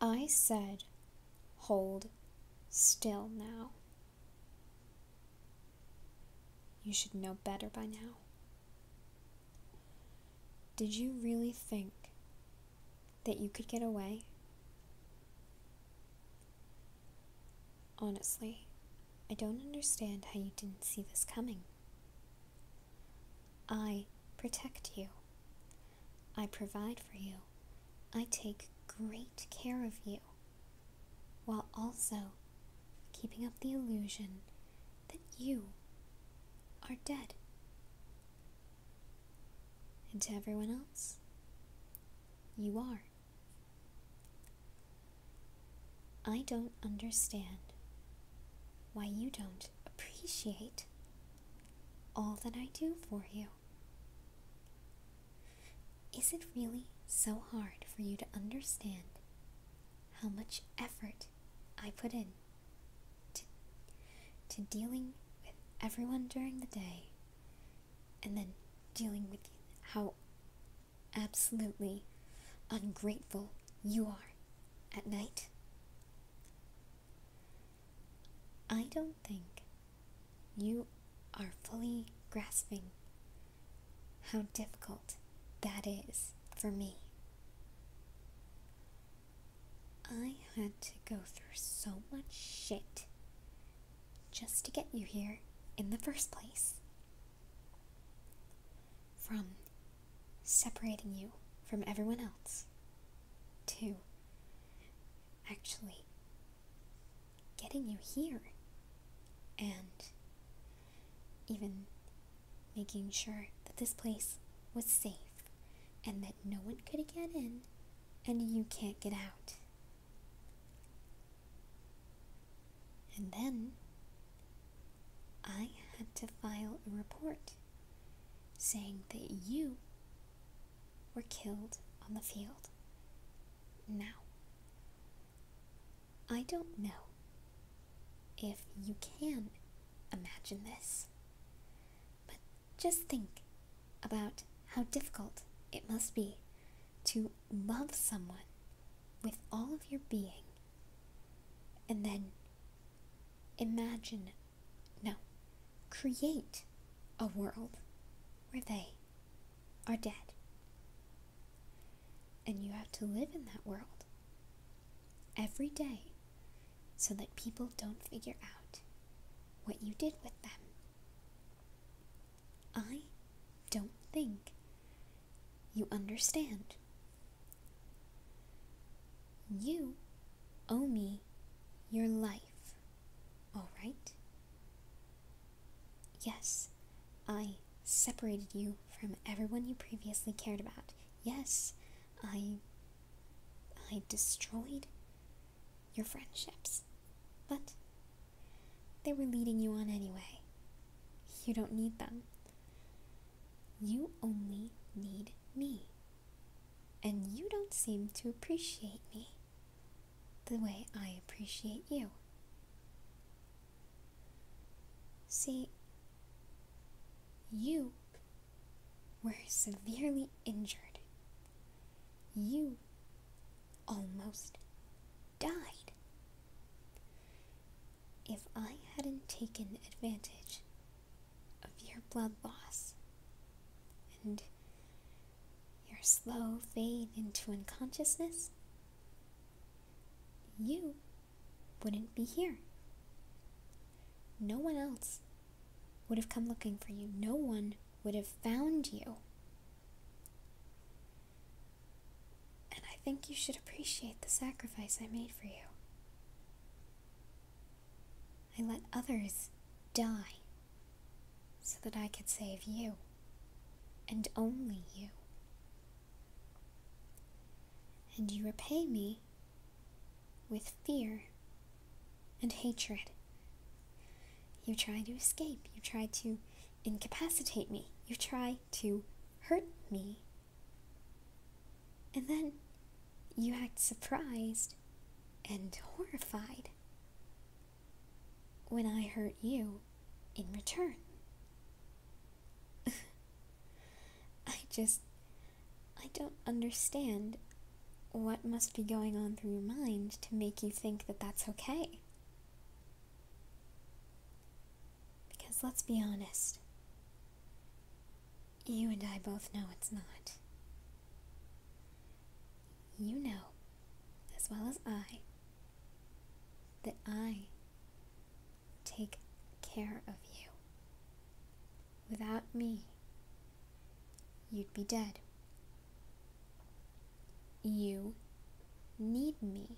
I said, hold still now. You should know better by now. Did you really think that you could get away? Honestly, I don't understand how you didn't see this coming. I protect you. I provide for you. I take great care of you, while also keeping up the illusion that you are dead. And to everyone else, you are. I don't understand why you don't appreciate all that I do for you. Is it really so hard for you to understand how much effort I put in? to, dealing with everyone during the day and then dealing with how absolutely ungrateful you are at night. I don't think you are fully grasping how difficult that is for me. I had to go through so much shit just to get you here in the first place. From separating you from everyone else to actually getting you here and even making sure that this place was safe and that no one could get in and you can't get out. And then I had to file a report saying that you were killed on the field. Now, I don't know if you can imagine this, but just think about how difficult it must be to love someone with all of your being and then imagine, no, create a world where they are dead. And you have to live in that world every day so that people don't figure out what you did with them. I don't think you understand. You owe me your life, alright? Yes, I separated you from everyone you previously cared about. Yes, I. I destroyed your friendships. But they were leading you on anyway. You don't need them. You only need me. And you don't seem to appreciate me the way I appreciate you. See, you were severely injured. You almost died. If I hadn't taken advantage of your blood loss and your slow fade into unconsciousness, you wouldn't be here. No one else would have come looking for you. No one would have found you. And I think you should appreciate the sacrifice I made for you. I let others die so that I could save you and only you. And you repay me with fear and hatred. You try to escape, you try to incapacitate me, you try to hurt me. And then you act surprised and horrified when I hurt you in return. I just. I don't understand what must be going on through your mind to make you think that that's okay. Because let's be honest, you and I both know it's not. You know as well as I, that I take care of you. Without me, you'd be dead. You need me.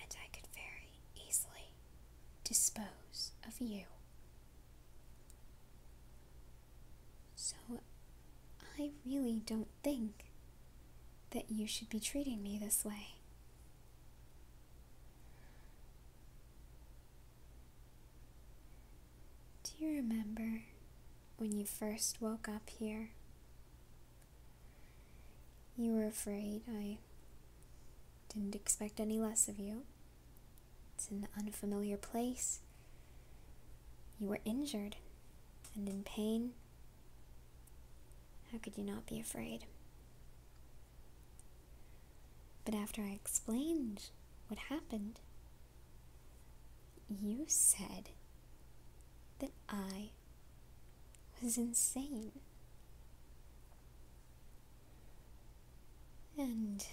And I could very easily dispose of you. So I really don't think that you should be treating me this way. Do you remember when you first woke up here? You were afraid I didn't expect any less of you, it's an unfamiliar place. You were injured and in pain. How could you not be afraid? But after I explained what happened, you said that I was insane. And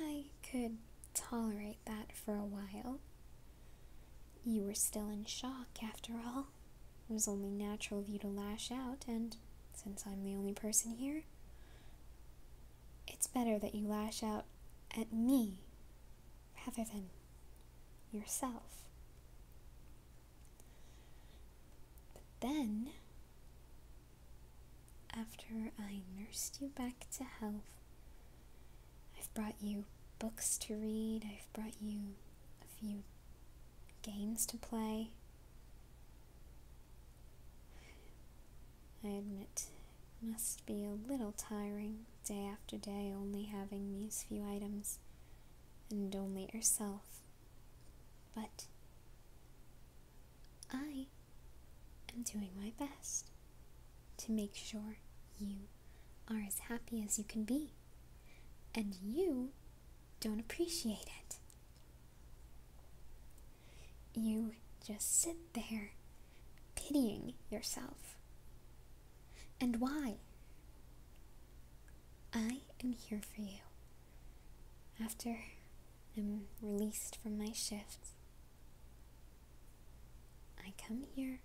I could tolerate that for a while. You were still in shock, after all. It was only natural of you to lash out, and since I'm the only person here, it's better that you lash out at me rather than yourself. But then after I nursed you back to health, I've brought you books to read, I've brought you a few games to play. I admit, it must be a little tiring day after day only having these few items and only yourself. But I and doing my best to make sure you are as happy as you can be and you don't appreciate it. You just sit there pitying yourself. And why? I am here for you after I'm released from my shift. I come here,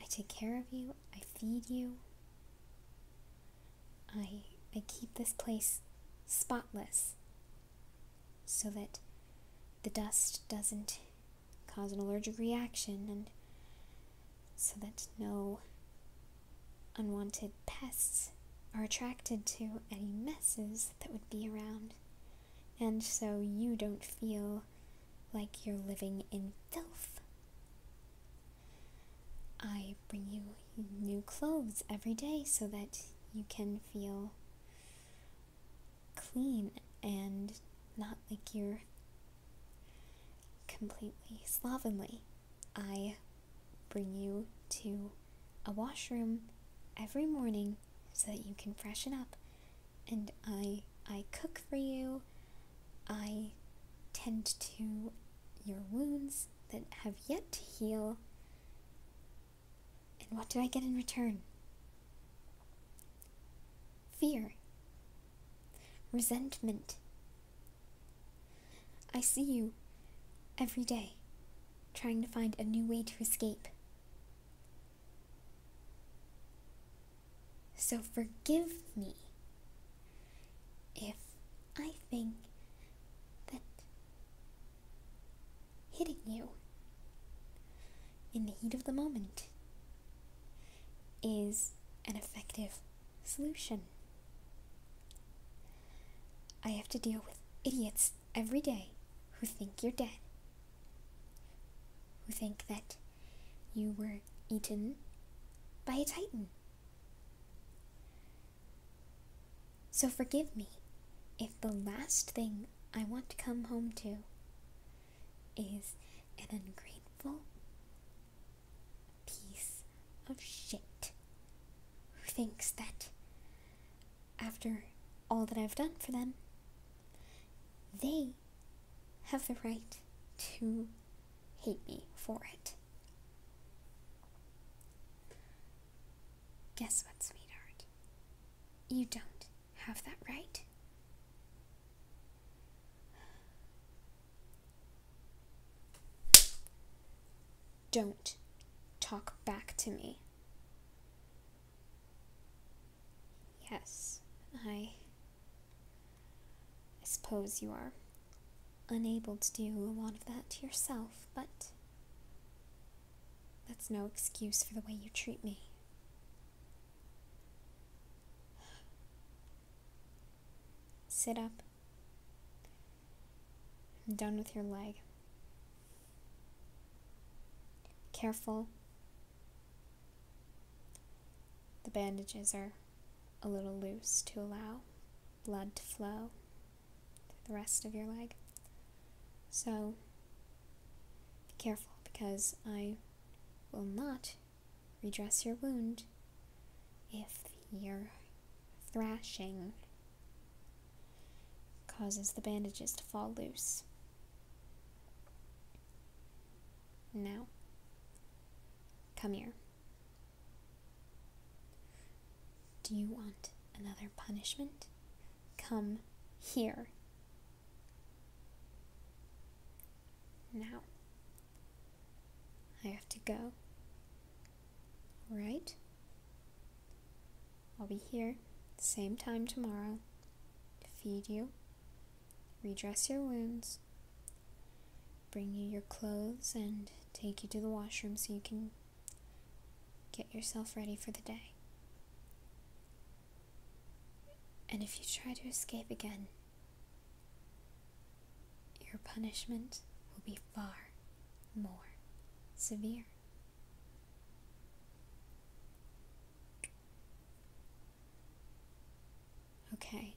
I take care of you, I feed you, I, I keep this place spotless so that the dust doesn't cause an allergic reaction and so that no unwanted pests are attracted to any messes that would be around, and so you don't feel like you're living in filth. I bring you new clothes every day so that you can feel clean and not like you're completely slovenly. I bring you to a washroom every morning so that you can freshen up and I I cook for you. I tend to your wounds that have yet to heal. And what do I get in return? Fear, resentment, I see you every day trying to find a new way to escape. So forgive me if I think that hitting you in the heat of the moment is an effective solution. I have to deal with idiots every day who think you're dead, who think that you were eaten by a titan. So forgive me if the last thing I want to come home to is an ungrateful, piece of shit who thinks that after all that I've done for them, they have the right to hate me for it. Guess what, sweetheart? You don't have that right. Don't talk back to me. Yes, I. suppose you are unable to do a lot of that to yourself, but. That's no excuse for the way you treat me. Sit up I'm done with your leg. Careful. The bandages are a little loose to allow blood to flow to the rest of your leg. So be careful because I will not redress your wound. If your thrashing causes the bandages to fall loose. Now, come here. Do you want another punishment? Come here. Now, I have to go. Right? I'll be here, same time tomorrow, to feed you, redress your wounds, bring you your clothes, and take you to the washroom so you can get yourself ready for the day. And if you try to escape again, your punishment will be far more severe. Okay.